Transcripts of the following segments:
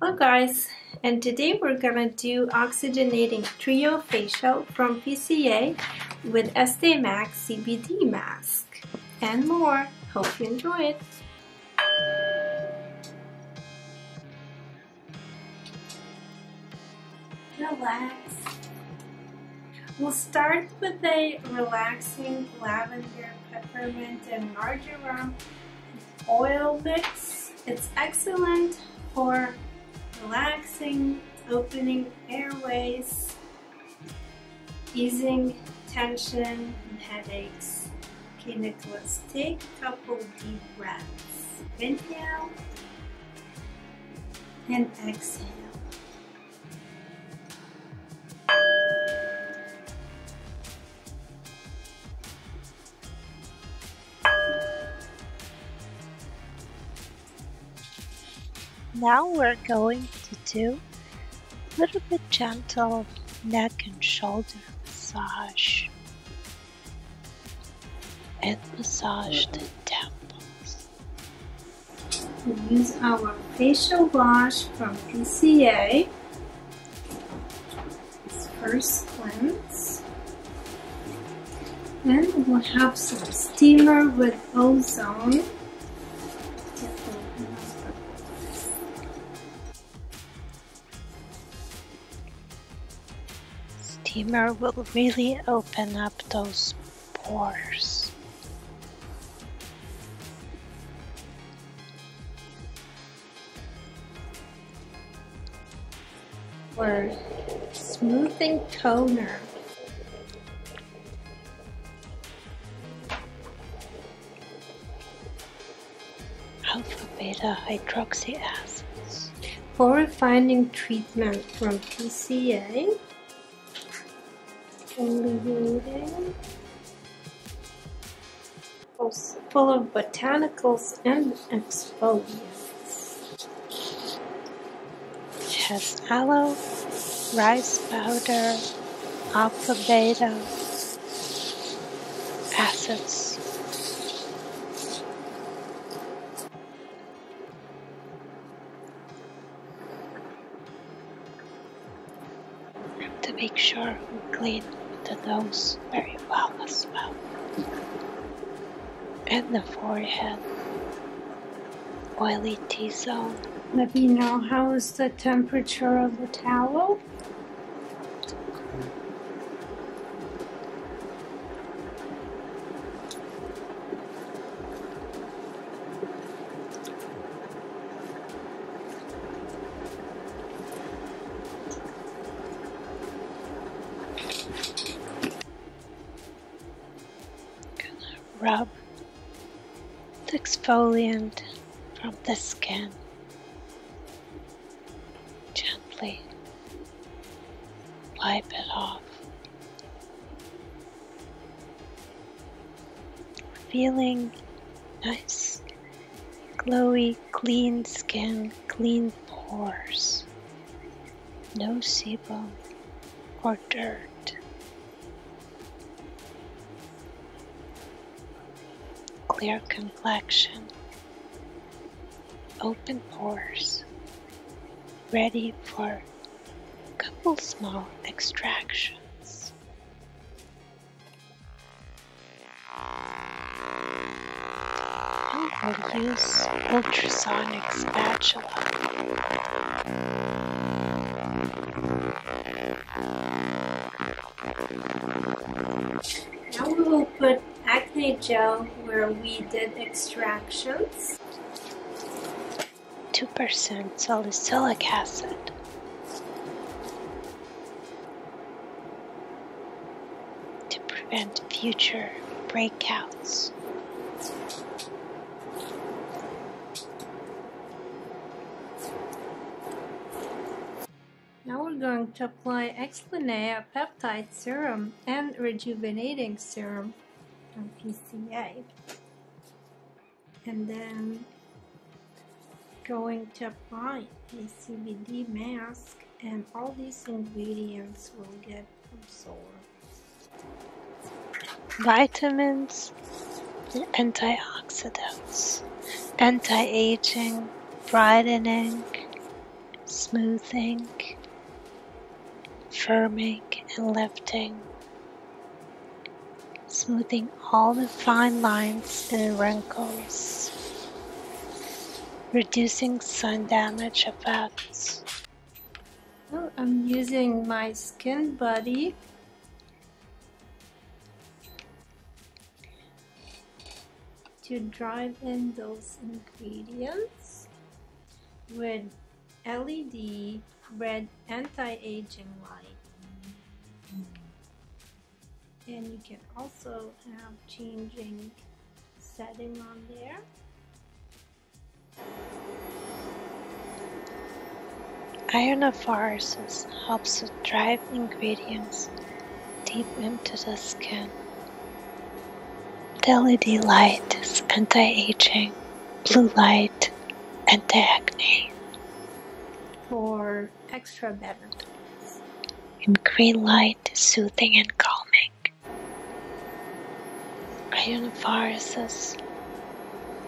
Hello guys, and today we're gonna do Oxygenating Trio Facial from PCA with Estee MAC CBD Mask and more. Hope you enjoy it. Relax. We'll start with a relaxing lavender, peppermint, and marjoram oil mix. It's excellent for relaxing, opening airways, easing tension and headaches. Okay, Nicholas, take a couple deep breaths. Inhale and exhale. Now we're going to do a little bit gentle neck and shoulder massage and massage the temples. We use our facial wash from PCA this first cleanse. Then we'll have some steamer with ozone. Steamer will really open up those pores. Or smoothing toner. Alpha beta hydroxy acids. For refining treatment from PCA, illuminating Full of botanicals and exfoliants. It has aloe, rice powder, alpha beta, acids and to make sure we clean the nose very well as well and the forehead oily t-zone let me know how is the temperature of the towel Gonna rub the exfoliant from the skin gently wipe it off feeling nice, glowy, clean skin, clean pores, no sebum or dirt. Clear complexion, open pores, ready for a couple small extractions use ultrasonic spatula. Now we will put acne gel where we did extractions. 2% salicylic acid. To prevent future breakouts. Now we're going to apply Explanea Peptide Serum and Rejuvenating Serum on PCA and then going to apply a CBD mask and all these ingredients will get absorbed. Vitamins, antioxidants, anti-aging, brightening, smoothing, firming and lifting, smoothing all the fine lines and wrinkles, reducing sun damage effects. I'm using my skin buddy. To drive in those ingredients with LED red anti-aging light mm-hmm. and you can also have changing setting on there Iron of forests helps to drive ingredients deep into the skin. The LED light is anti-aging, blue light and the acne for extra benefits. In green light soothing and calming. Iron viruses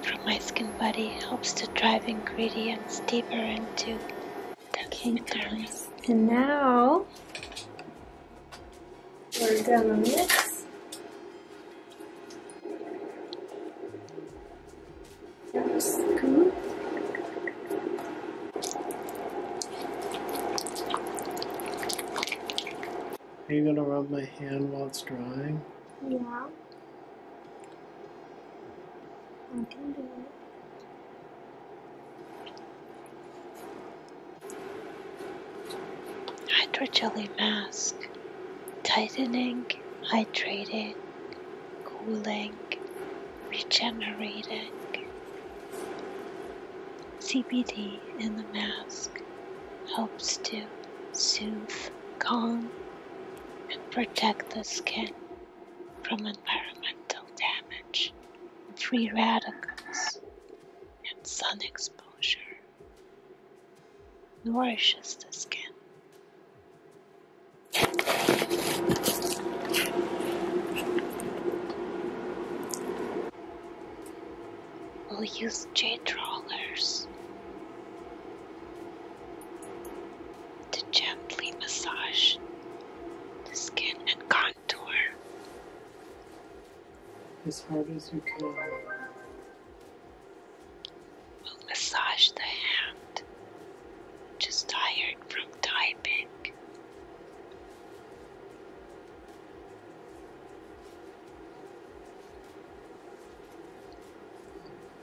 from my skin body helps to drive ingredients deeper into the kingdoms. And now we're gonna mix are you gonna rub my hand while it's drying? Yeah. I can do it. Hydrogel mask, tightening, hydrating, cooling, regenerating. CBD in the mask helps to soothe, calm, and protect the skin from environmental damage, free radicals, and sun exposure nourishes the skin. We'll use jade rollers to gently massage the skin and contour as hard as you can. We'll massage the hand, Just tired from typing.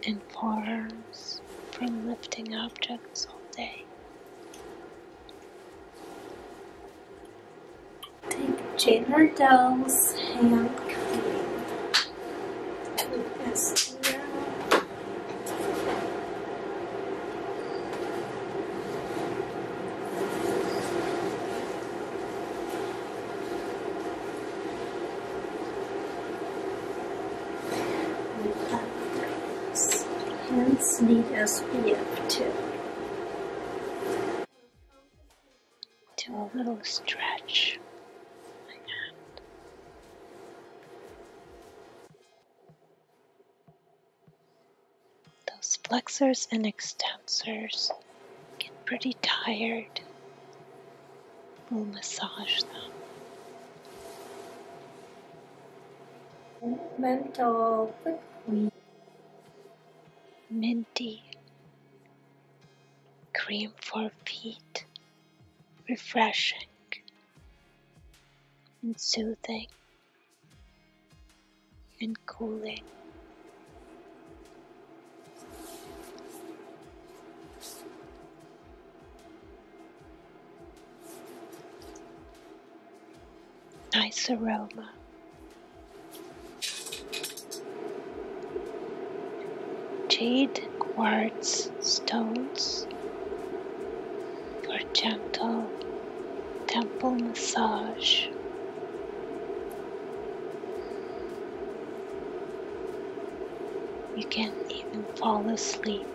And forearms from lifting objects all day take Jenner Dolls hand cream as well. Hands need SPF too. Do a little stretch Those flexors and extensors get pretty tired. We'll massage them. Movement minty, cream for feet, refreshing and soothing and cooling nice aroma. Jade quartz stones for gentle temple massage. You can even fall asleep.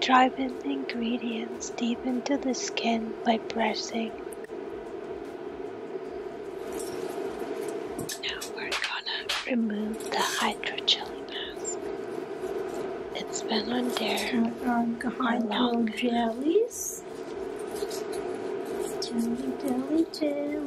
Drive in ingredients deep into the skin by pressing. Now we're gonna remove the hydrogel mask. It's been on there. Put on the hydrogelies. Jelly, jelly, jelly.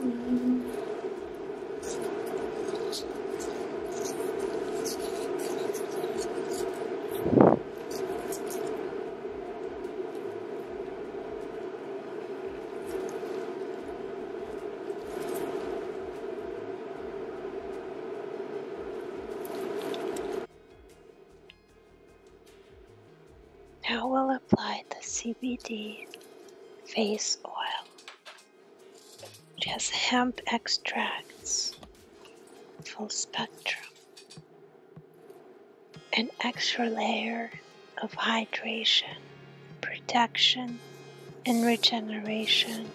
Now we'll apply the CBD face oil, which has hemp extracts, full spectrum, an extra layer of hydration, protection, and regeneration.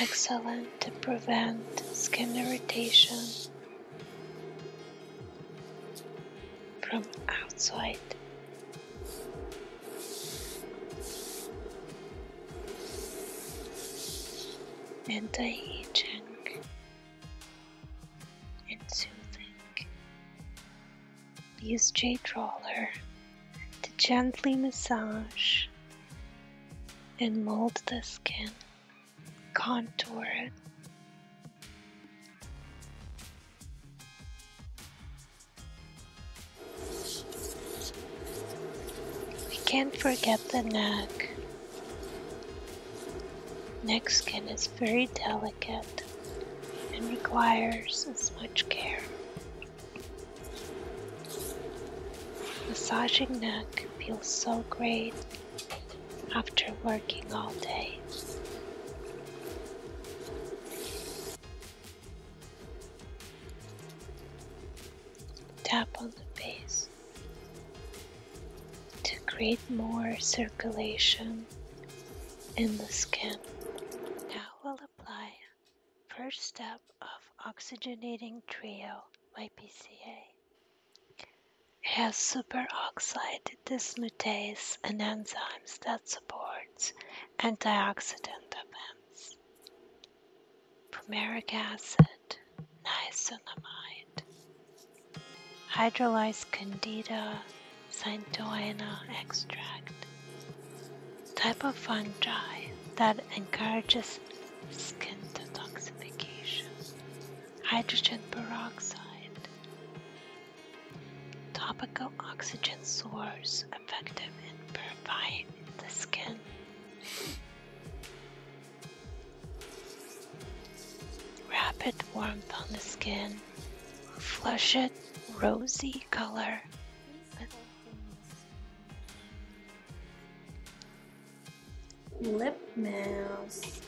Excellent to prevent skin irritation from outside. Anti-aging and soothing. Use jade roller to gently massage and mold the skin, contour it. We can't forget the neck. Neck skin is very delicate and requires as much care Massaging neck feels so great after working all day. Tap on the face to create more circulation in the skin. Now we'll apply first step of oxygenating trio by PCA. has superoxide dismutase and enzymes that supports antioxidant events. Fumaric acid, nicotinamide, hydrolyzed candida, Centoena extract, type of fungi that encourages skin detoxification. Hydrogen peroxide, topical oxygen source effective in purifying the skin. Rapid warmth on the skin flushed rosy color. Lip mask.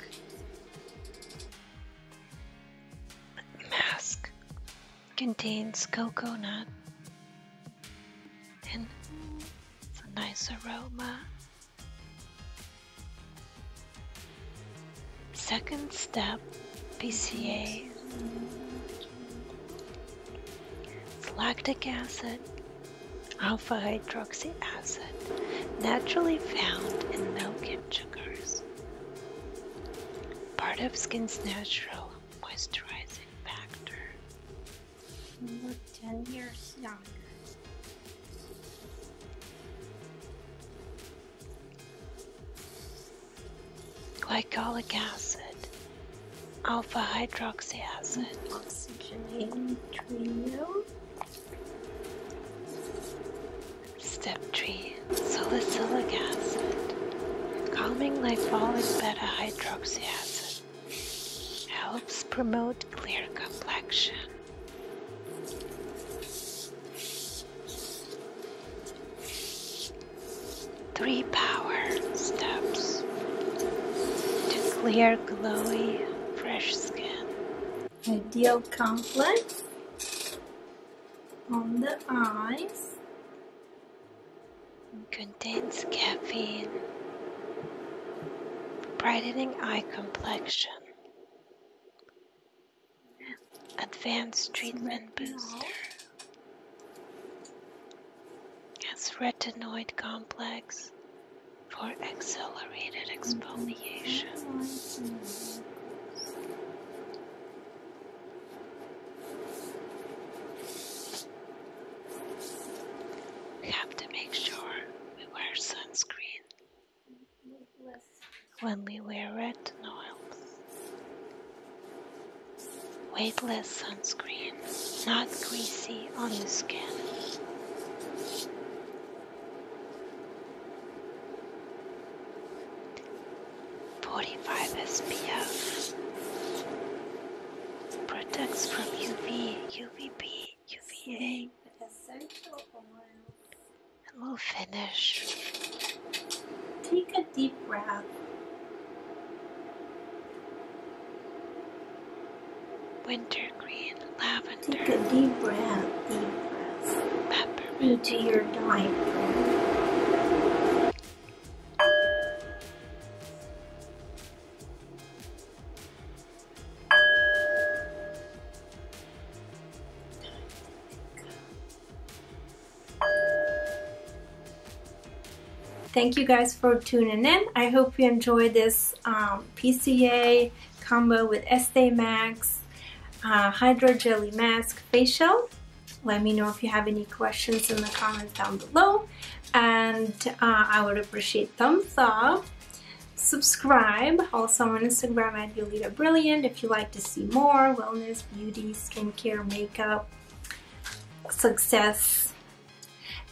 Mask contains coconut and it's a nice aroma. Second step, PCA, lactic acid, alpha hydroxy acid, naturally found in milk and sugars. Part of skin's natural moisturizing factor. You look 10 years younger glycolic acid, alpha hydroxy acid, oxygenating trio. Step 3 Salicylic acid, calming lipoic beta hydroxy acid, helps promote clear complexion. Three power steps to clear glowy fresh skin. Ideal complex on the eyes. Contains caffeine, brightening eye complexion Advanced treatment booster as retinoid complex for accelerated exfoliation. have to make sure we wear sunscreen when we wear retinoids, weightless sunscreen, not greasy on the skin. Forty-five SPF protects from UV, UVB, UVA, and we'll finish. Take a deep breath. Wintergreen, lavender. Take a deep breath, deep breath. Pepper. Into your diaphragm. Thank you guys for tuning in. I hope you enjoyed this um, PCA combo with Estee Max uh, Hydro Jelly Mask Facial. Let me know if you have any questions in the comments down below and uh, I would appreciate thumbs up Subscribe also on Instagram at Yolita Brilliant if you like to see more wellness, beauty, skincare, makeup, success,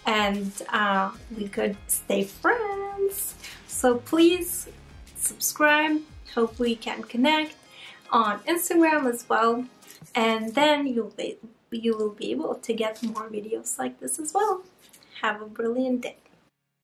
and uh, we could stay friends. So please subscribe. Hopefully, you can connect on Instagram as well, and then you will be able to get more videos like this as well. Have a brilliant day.